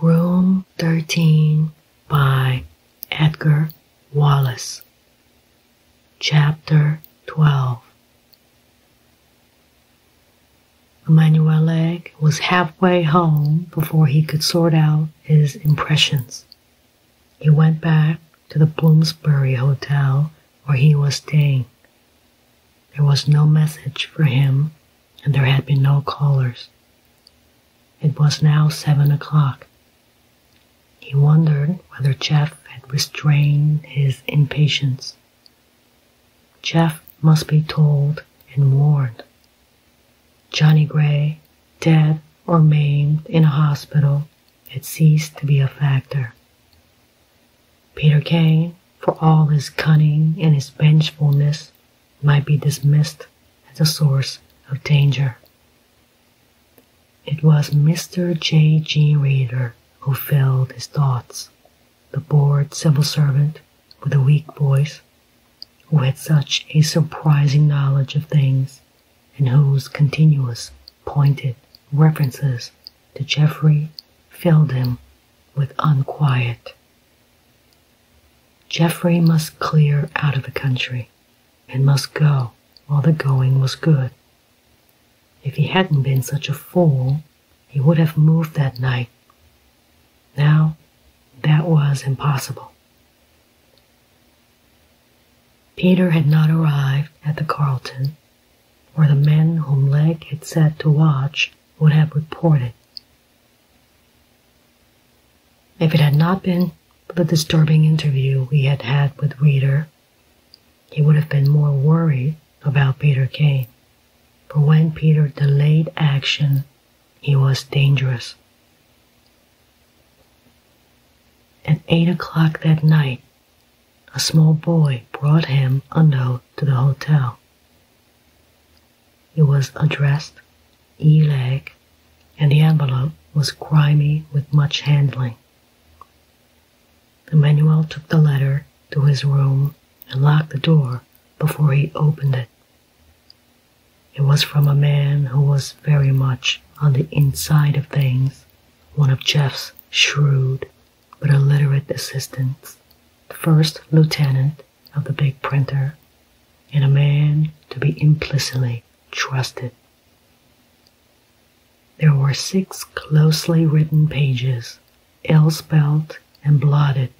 Room 13 by Edgar Wallace. Chapter 12 Leg was halfway home before he could sort out his impressions. He went back to the Bloomsbury Hotel where he was staying there was no message for him, and there had been no callers. It was now seven o'clock. He wondered whether Jeff had restrained his impatience. Jeff must be told and warned. Johnny Gray, dead or maimed in a hospital, had ceased to be a factor. Peter Kane, for all his cunning and his vengefulness, might be dismissed as a source of danger. It was Mr. J. G. Reader who filled his thoughts, the bored civil servant with a weak voice, who had such a surprising knowledge of things, and whose continuous, pointed references to Geoffrey filled him with unquiet. Geoffrey must clear out of the country and must go while the going was good. If he hadn't been such a fool, he would have moved that night. Now, that was impossible. Peter had not arrived at the Carlton or the men whom Leg had said to watch would have reported. If it had not been for the disturbing interview we had had with Reeder, he would have been more worried about Peter Kane. For when Peter delayed action, he was dangerous. At eight o'clock that night, a small boy brought him a note to the hotel. It was addressed E-Leg, and the envelope was grimy with much handling. Emmanuel took the letter to his room and locked the door before he opened it. It was from a man who was very much on the inside of things, one of Jeff's shrewd but a literate assistant, the first lieutenant of the big printer, and a man to be implicitly trusted. There were six closely written pages, ill spelt and blotted.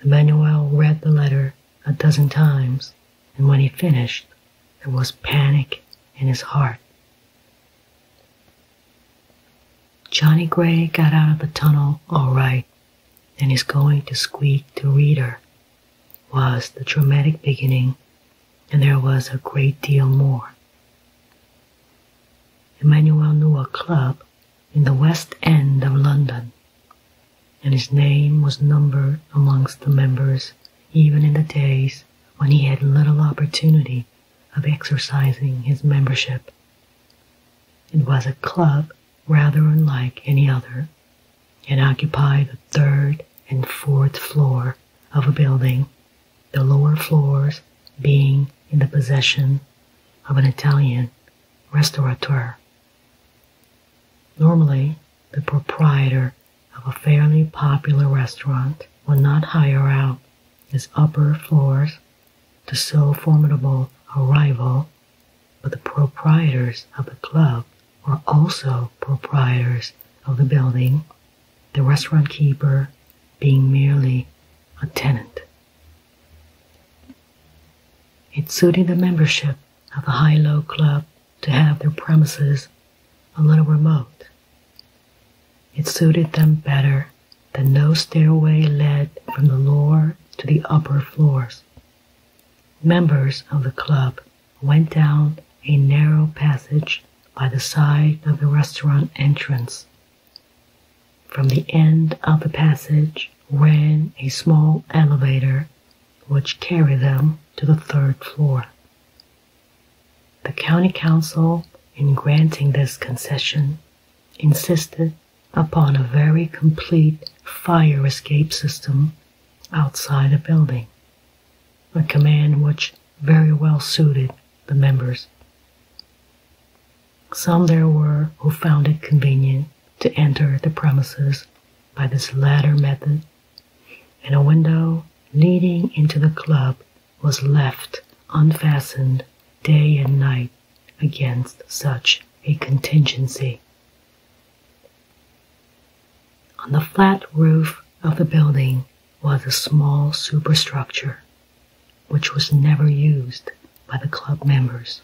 Emmanuel read the letter a dozen times, and when he finished, there was panic in his heart. Johnny Gray got out of the tunnel all right, and is going to squeak the reader was the dramatic beginning, and there was a great deal more. Emmanuel knew a club in the West End of London, and his name was numbered amongst the members even in the days when he had little opportunity of exercising his membership. It was a club rather unlike any other and occupied the third and fourth floor of a building, the lower floors being in the possession of an Italian restaurateur. Normally, the proprietor of a fairly popular restaurant would not hire out its upper floors to so formidable a rival, but the proprietors of the club were also proprietors of the building, the restaurant keeper being merely a tenant. It suited the membership of the High Low Club to have their premises a little remote it suited them better that no stairway led from the lower to the upper floors. Members of the club went down a narrow passage by the side of the restaurant entrance. From the end of the passage ran a small elevator which carried them to the third floor. The county council, in granting this concession, insisted upon a very complete fire escape system outside the building, a command which very well suited the members. Some there were who found it convenient to enter the premises by this latter method, in a window leading into the club was left unfastened day and night against such a contingency. On the flat roof of the building was a small superstructure, which was never used by the club members.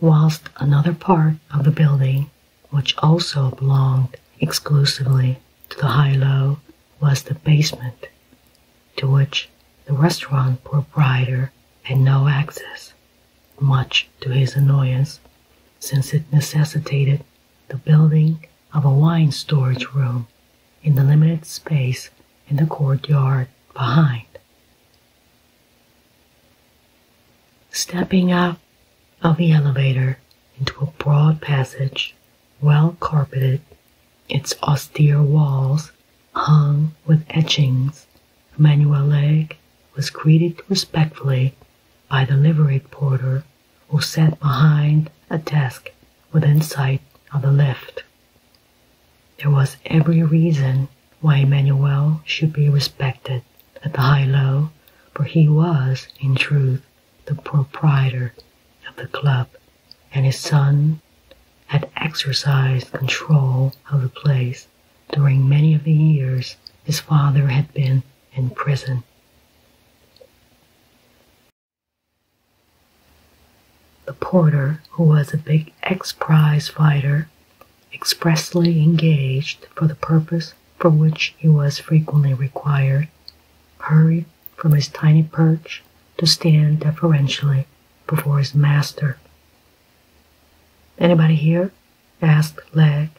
Whilst another part of the building, which also belonged exclusively to the high low was the basement, to which the restaurant proprietor had no access, much to his annoyance, since it necessitated the building of a wine storage room in the limited space in the courtyard behind. Stepping out of the elevator into a broad passage well carpeted, its austere walls hung with etchings, Manueleg was greeted respectfully by the liveried porter who sat behind a desk within sight of the lift. There was every reason why Emmanuel should be respected at the high low, for he was, in truth, the proprietor of the club and his son had exercised control of the place during many of the years his father had been in prison. The porter, who was a big ex prize fighter, expressly engaged for the purpose for which he was frequently required, hurried from his tiny perch to stand deferentially before his master. Anybody here? asked Leg.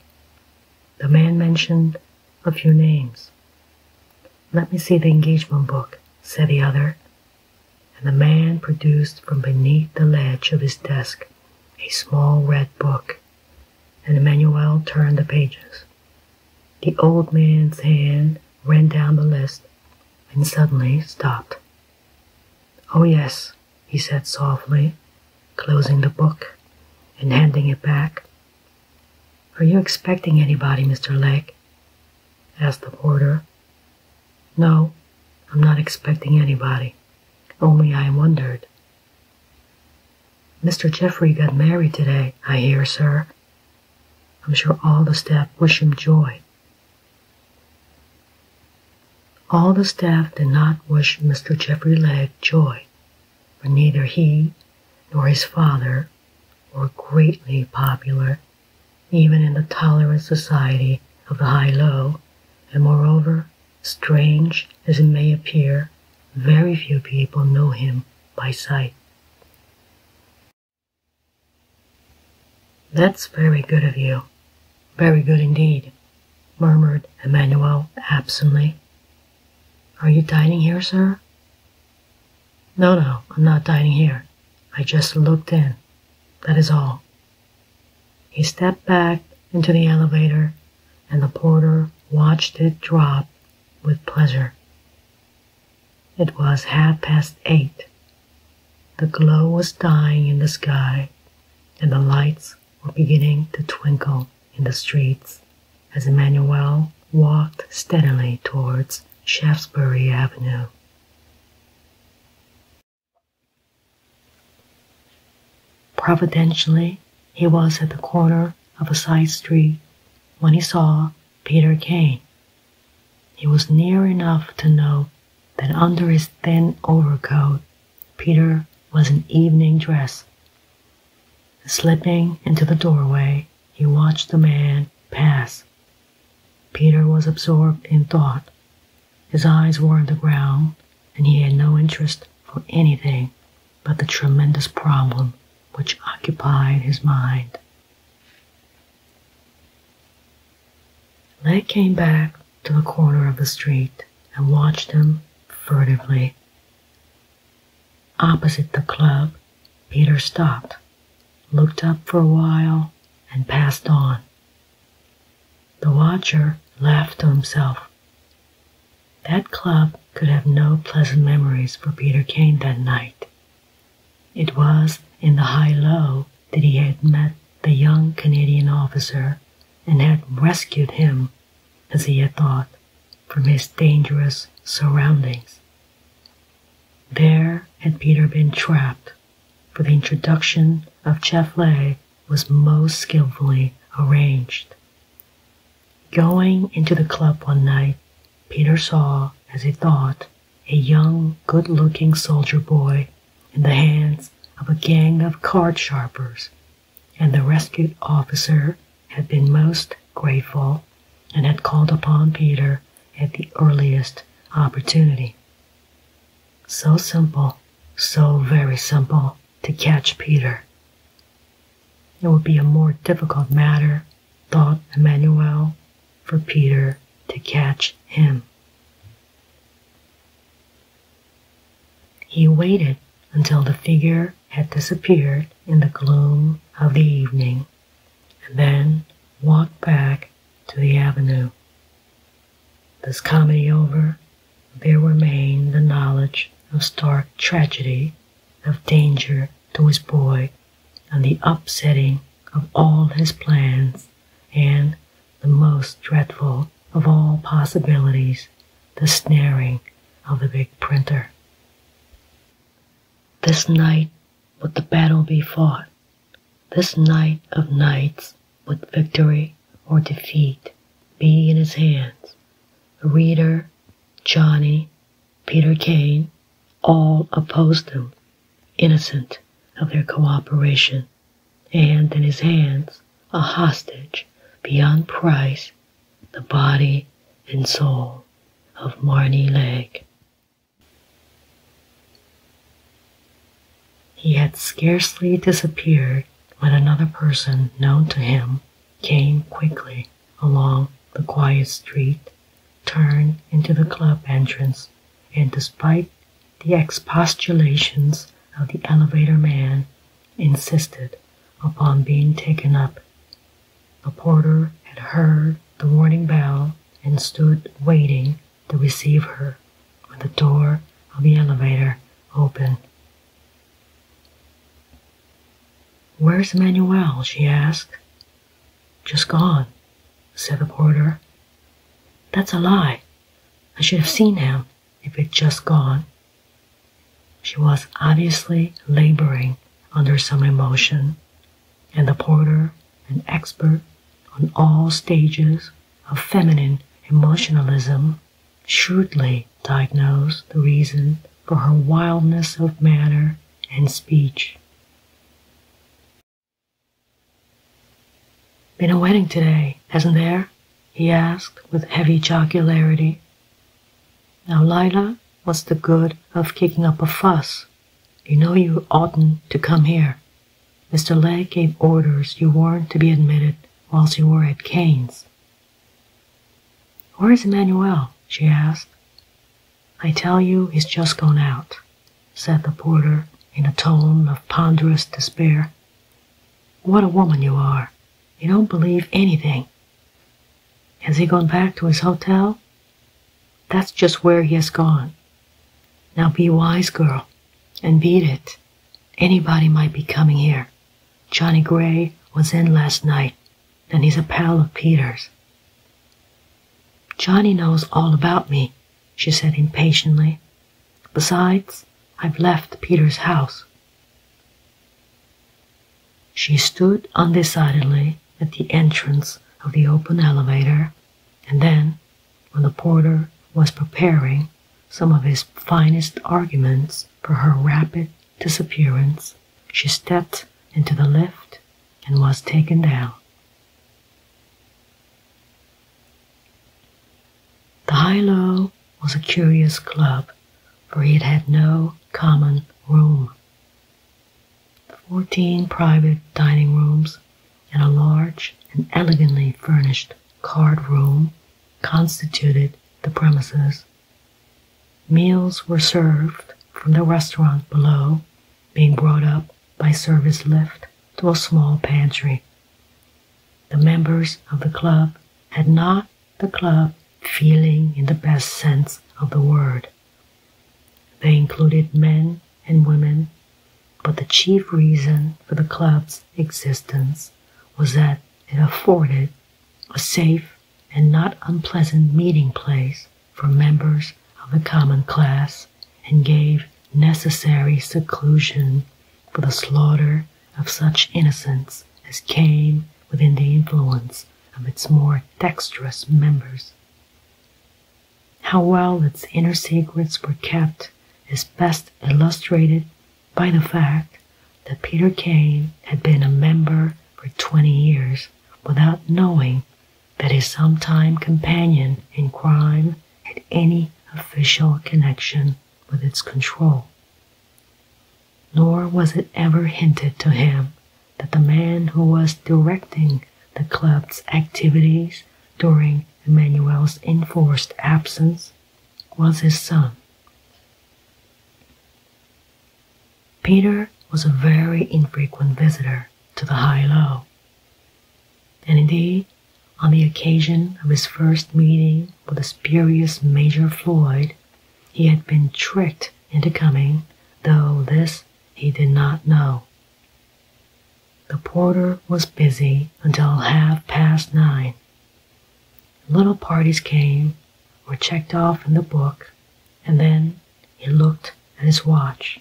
The man mentioned a few names. Let me see the engagement book, said the other, and the man produced from beneath the ledge of his desk a small red book, and Emmanuel turned the pages. The old man's hand ran down the list and suddenly stopped. Oh, yes, he said softly, closing the book and handing it back. Are you expecting anybody, Mr. Lake? asked the porter. No, I'm not expecting anybody. Only I wondered. Mr. Jeffrey got married today, I hear, sir, I'm sure all the staff wish him joy. All the staff did not wish Mr. Jeffrey Legg joy, for neither he nor his father were greatly popular, even in the tolerant society of the high low, and moreover, strange as it may appear, very few people know him by sight. That's very good of you. Very good indeed, murmured Emmanuel absently. Are you dining here, sir? No, no, I'm not dining here. I just looked in. That is all. He stepped back into the elevator, and the porter watched it drop with pleasure. It was half past eight. The glow was dying in the sky, and the lights were beginning to twinkle in the streets as Emmanuel walked steadily towards Shaftesbury Avenue. Providentially, he was at the corner of a side street when he saw Peter came. He was near enough to know that under his thin overcoat, Peter was in evening dress. Slipping into the doorway, he watched the man pass. Peter was absorbed in thought. His eyes were on the ground, and he had no interest for anything but the tremendous problem which occupied his mind. They came back to the corner of the street and watched him furtively. Opposite the club, Peter stopped, looked up for a while, and passed on. The watcher laughed to himself. That club could have no pleasant memories for Peter Kane that night. It was in the high low that he had met the young Canadian officer and had rescued him, as he had thought, from his dangerous surroundings. There had Peter been trapped, for the introduction of Cheflé was most skilfully arranged. Going into the club one night, Peter saw, as he thought, a young, good looking soldier boy in the hands of a gang of card sharpers, and the rescued officer had been most grateful and had called upon Peter at the earliest opportunity. So simple, so very simple to catch Peter. It would be a more difficult matter, thought Emmanuel, for Peter to catch him. He waited until the figure had disappeared in the gloom of the evening, and then walked back to the avenue. This comedy over, there remained the knowledge of stark tragedy of danger to his boy and the upsetting of all his plans and the most dreadful of all possibilities, the snaring of the big printer. This night would the battle be fought. This night of nights would victory or defeat be in his hands. The reader, Johnny, Peter Kane, all opposed him, innocent of their cooperation, and in his hands, a hostage beyond price, the body and soul of Marnie Leg. He had scarcely disappeared when another person known to him came quickly along the quiet street turned into the club entrance, and despite the expostulations of the elevator man, insisted upon being taken up. The porter had heard the warning bell and stood waiting to receive her when the door of the elevator opened. Where's Manuel? she asked. Just gone, said the porter. That's a lie. I should have seen him if he'd just gone. She was obviously laboring under some emotion, and the porter, an expert on all stages of feminine emotionalism, shrewdly diagnosed the reason for her wildness of manner and speech. Been a wedding today, hasn't there? he asked with heavy jocularity. Now, Lila, what's the good of kicking up a fuss? You know you oughtn't to come here. Mr. Legg gave orders you weren't to be admitted whilst you were at Cain's. Where is Emmanuel? she asked. I tell you he's just gone out, said the porter in a tone of ponderous despair. What a woman you are. You don't believe anything. Has he gone back to his hotel? That's just where he has gone. Now be wise, girl, and beat it. Anybody might be coming here. Johnny Gray was in last night. Then he's a pal of Peter's. Johnny knows all about me, she said impatiently. Besides, I've left Peter's house. She stood undecidedly at the entrance of the open elevator, and then, when the porter was preparing some of his finest arguments for her rapid disappearance, she stepped into the lift and was taken down. The High Low was a curious club, for it had no common room. Fourteen private dining rooms and a large and elegantly furnished card room constituted the premises Meals were served from the restaurant below, being brought up by service lift to a small pantry. The members of the club had not the club feeling in the best sense of the word. They included men and women, but the chief reason for the club's existence was that it afforded a safe and not unpleasant meeting place for members of the common class and gave necessary seclusion for the slaughter of such innocents as came within the influence of its more dexterous members. How well its inner secrets were kept is best illustrated by the fact that Peter Kane had been a member for 20 years without knowing that his sometime companion in crime had any official connection with its control. Nor was it ever hinted to him that the man who was directing the club's activities during Emmanuel's enforced absence was his son. Peter was a very infrequent visitor to the high low. And indeed, on the occasion of his first meeting with the spurious Major Floyd, he had been tricked into coming, though this he did not know. The porter was busy until half past nine. Little parties came were checked off in the book, and then he looked at his watch.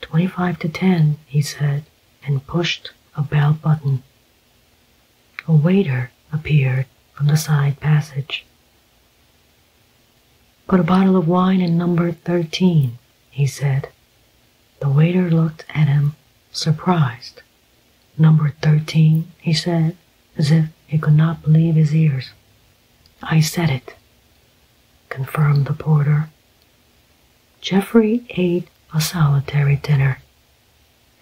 Twenty-five to ten, he said, and pushed a bell button. A waiter appeared from the side passage. Put a bottle of wine in number 13, he said. The waiter looked at him, surprised. Number 13, he said, as if he could not believe his ears. I said it, confirmed the porter. Jeffrey ate a solitary dinner.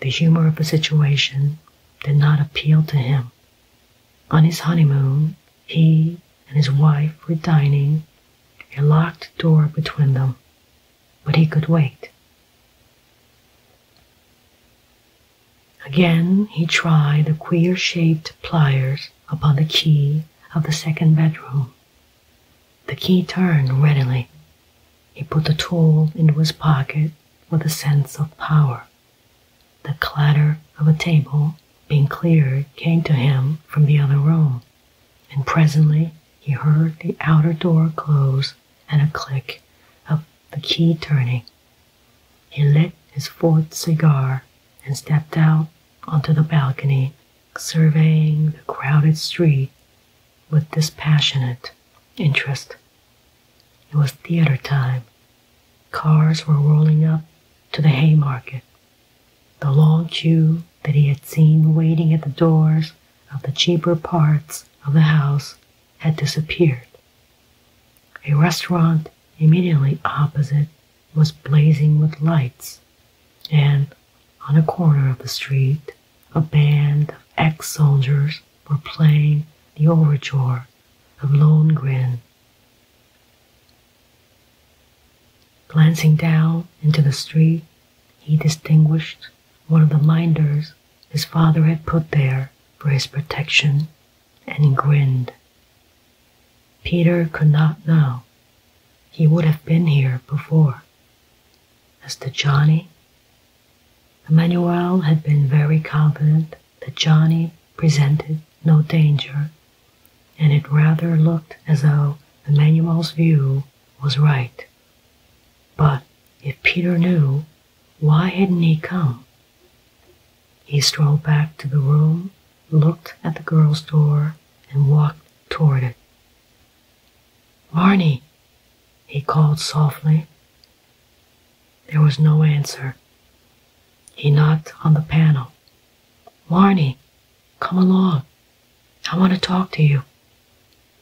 The humor of the situation did not appeal to him. On his honeymoon, he and his wife were dining, a locked door between them, but he could wait. Again he tried the queer shaped pliers upon the key of the second bedroom. The key turned readily. He put the tool into his pocket with a sense of power. The clatter of a table being cleared came to him from the other room, and presently he heard the outer door close and a click of the key turning. He lit his fourth cigar and stepped out onto the balcony, surveying the crowded street with dispassionate interest. It was theater time. Cars were rolling up to the Haymarket. The long queue that he had seen waiting at the doors of the cheaper parts of the house had disappeared. A restaurant immediately opposite was blazing with lights, and on a corner of the street, a band of ex soldiers were playing the overture of Lone Lohengrin. Glancing down into the street, he distinguished one of the minders his father had put there for his protection and he grinned. Peter could not know. He would have been here before. As to Johnny, Emmanuel had been very confident that Johnny presented no danger, and it rather looked as though Emmanuel's view was right. But if Peter knew why hadn't he come? He strolled back to the room, looked at the girl's door, and walked toward it. Marnie, he called softly. There was no answer. He knocked on the panel. Marnie, come along. I want to talk to you.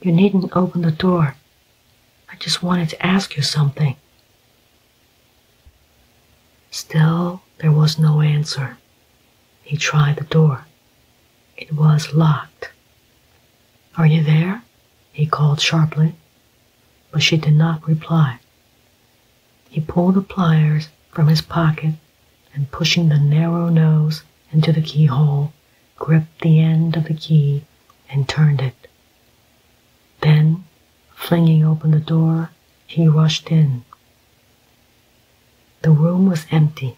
You needn't open the door. I just wanted to ask you something. Still, there was no answer. He tried the door. It was locked. Are you there? He called sharply, but she did not reply. He pulled the pliers from his pocket and pushing the narrow nose into the keyhole, gripped the end of the key and turned it. Then Flinging open the door, he rushed in. The room was empty,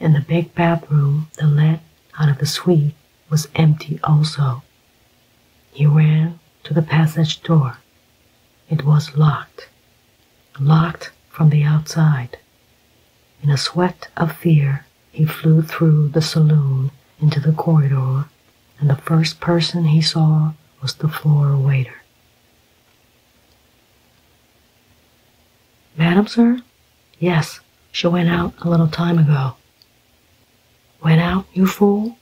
and the big bathroom that led out of the suite was empty also. He ran to the passage door. It was locked, locked from the outside. In a sweat of fear, he flew through the saloon into the corridor and the first person he saw was the floor waiter. Madam, sir? Yes, she went out a little time ago. Went out, you fool?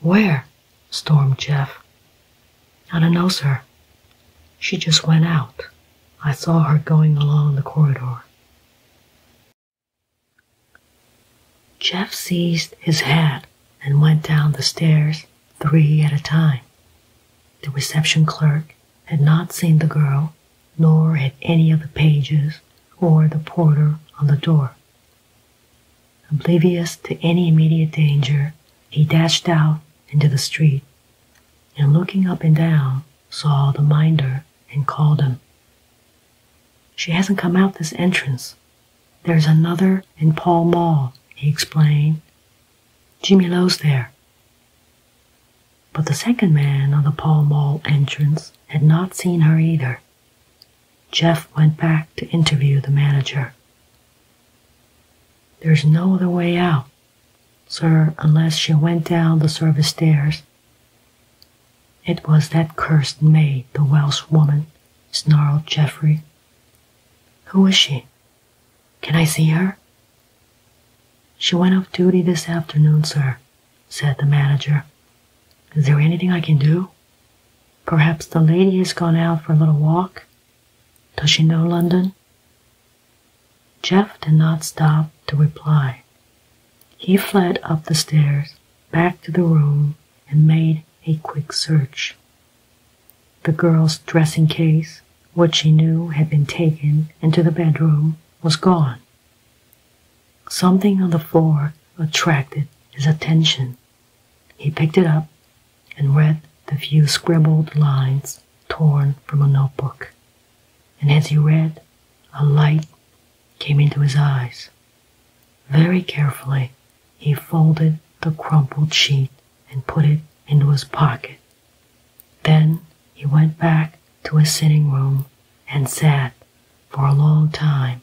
Where? stormed Jeff. I don't know, sir. She just went out. I saw her going along the corridor. Jeff seized his hat and went down the stairs three at a time. The reception clerk had not seen the girl, nor had any of the pages or the porter on the door. Oblivious to any immediate danger, he dashed out into the street and looking up and down saw the minder and called him. She hasn't come out this entrance. There's another in Pall Mall, he explained. Jimmy Lowe's there. But the second man on the Pall Mall entrance had not seen her either. Jeff went back to interview the manager. There's no other way out, sir, unless she went down the service stairs it was that cursed maid, the Welsh woman, snarled Geoffrey. Who is she? Can I see her? She went off duty this afternoon, sir, said the manager. Is there anything I can do? Perhaps the lady has gone out for a little walk? Does she know London? Jeff did not stop to reply. He fled up the stairs, back to the room, and made a quick search. The girl's dressing case, which he knew had been taken into the bedroom, was gone. Something on the floor attracted his attention. He picked it up and read the few scribbled lines torn from a notebook. And as he read, a light came into his eyes. Very carefully, he folded the crumpled sheet and put it into his pocket. Then he went back to his sitting room and sat for a long time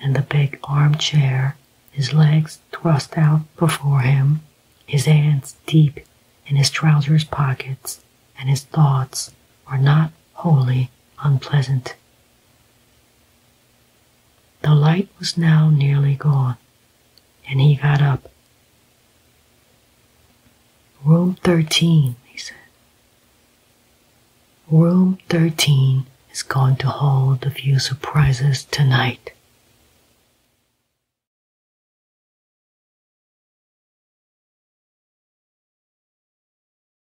in the big armchair, his legs thrust out before him, his hands deep in his trousers pockets, and his thoughts were not wholly unpleasant. The light was now nearly gone, and he got up. Room 13, he said. Room 13 is going to hold a few surprises tonight.